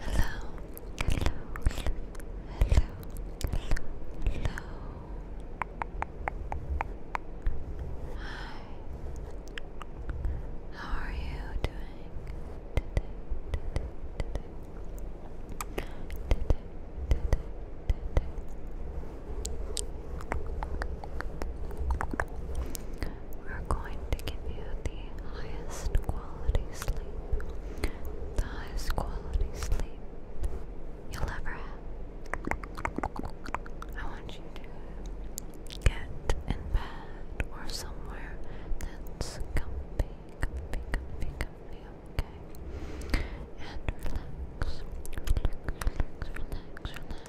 hello, hello, hello, hello. Hi. How are you doing we're going to give you the highest quality sleep, the highest quality sleep you'll ever have. I want you to get in bed or somewhere that's comfy, comfy, comfy, comfy, okay? And relax, relax, relax, relax,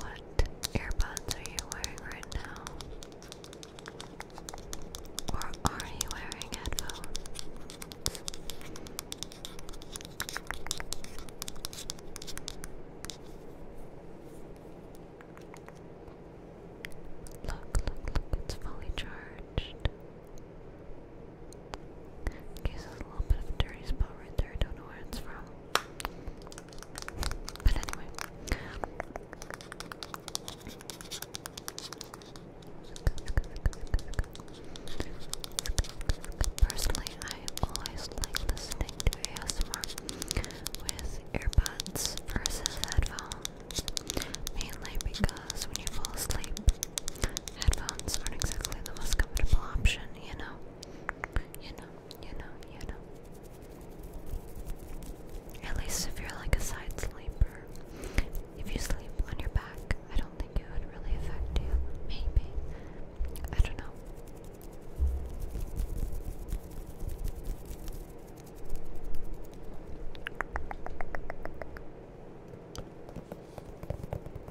What earbuds are you wearing right now? Or are you wearing headphones? Look, look, look, it's fully charged. Okay, there's a little bit of a dirty spot right there, I don't know where it's from. But anyway. Personally, I always like listening to ASMR with earbuds versus headphones, mainly because when you fall asleep, headphones aren't exactly the most comfortable option, you know? You know, you know, you know. At least if you're like a side sleeper, if you sleep on your back, I don't think it would really affect you. Maybe. I don't know.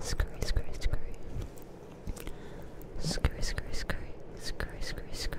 Scurry, scurry, scurry. Scurry, scurry, scurry. Scurry, scurry, scurry.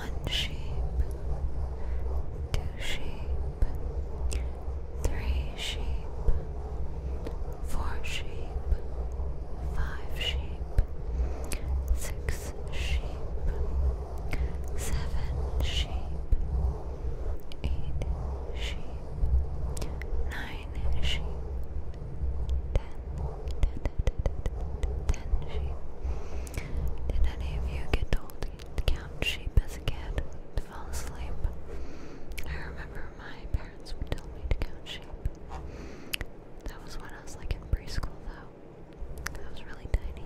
one sheep, two sheep, three sheep, four sheep, five sheep, six sheep, seven sheep, eight sheep, nine sheep, ten, ten, ten, ten, ten, ten sheep. Did any of you get told to count sheep as a kid to fall asleep? I remember my parents would tell me to count sheep. That was when I was like in preschool though. I was really tiny.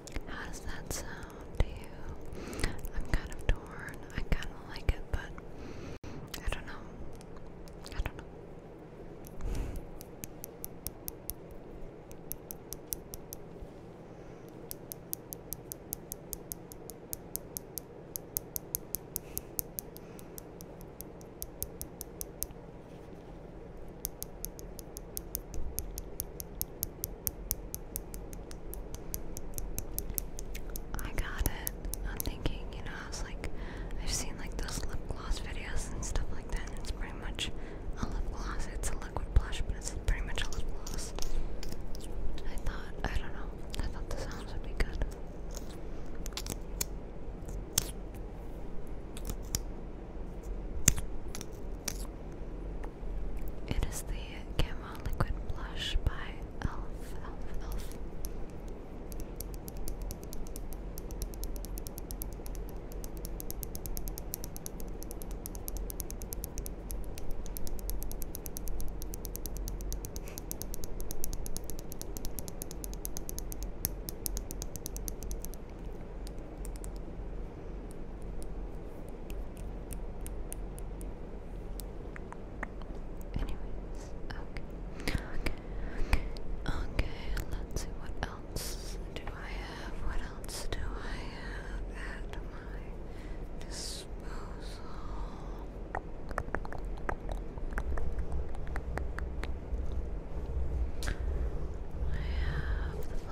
How does that sound to you? I'm kind of torn. I kind of like it, but I don't know. I don't know. I got it. I'm thinking, you know, I was like, I've seen like those lip gloss videos and stuff like that, and it's pretty much a lip gloss. It's a liquid blush, but it's pretty much a lip gloss. I thought, I don't know, I thought the sounds would be good. It is the Camo Liquid Blush by Elf, Elf, Elf okay. Okay, okay, let's see what else do I have? What else do I have at my disposal? I have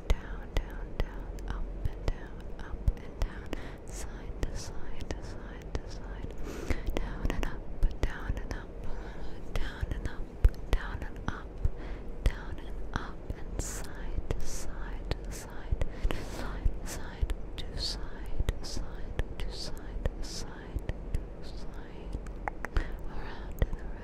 down, down, down, up and down, up and down, side to side to side to side, down and up, down and up, down and up, down and up, down and up, and side to side to side, side side to side, side to side, side to side, around and around.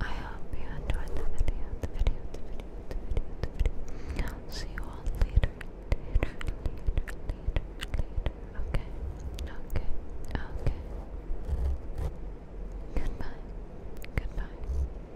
I hope you enjoyed the video, the video, the video, the video, the video. see you all later, later, later, later, later. Okay, okay, okay. Goodbye, goodbye.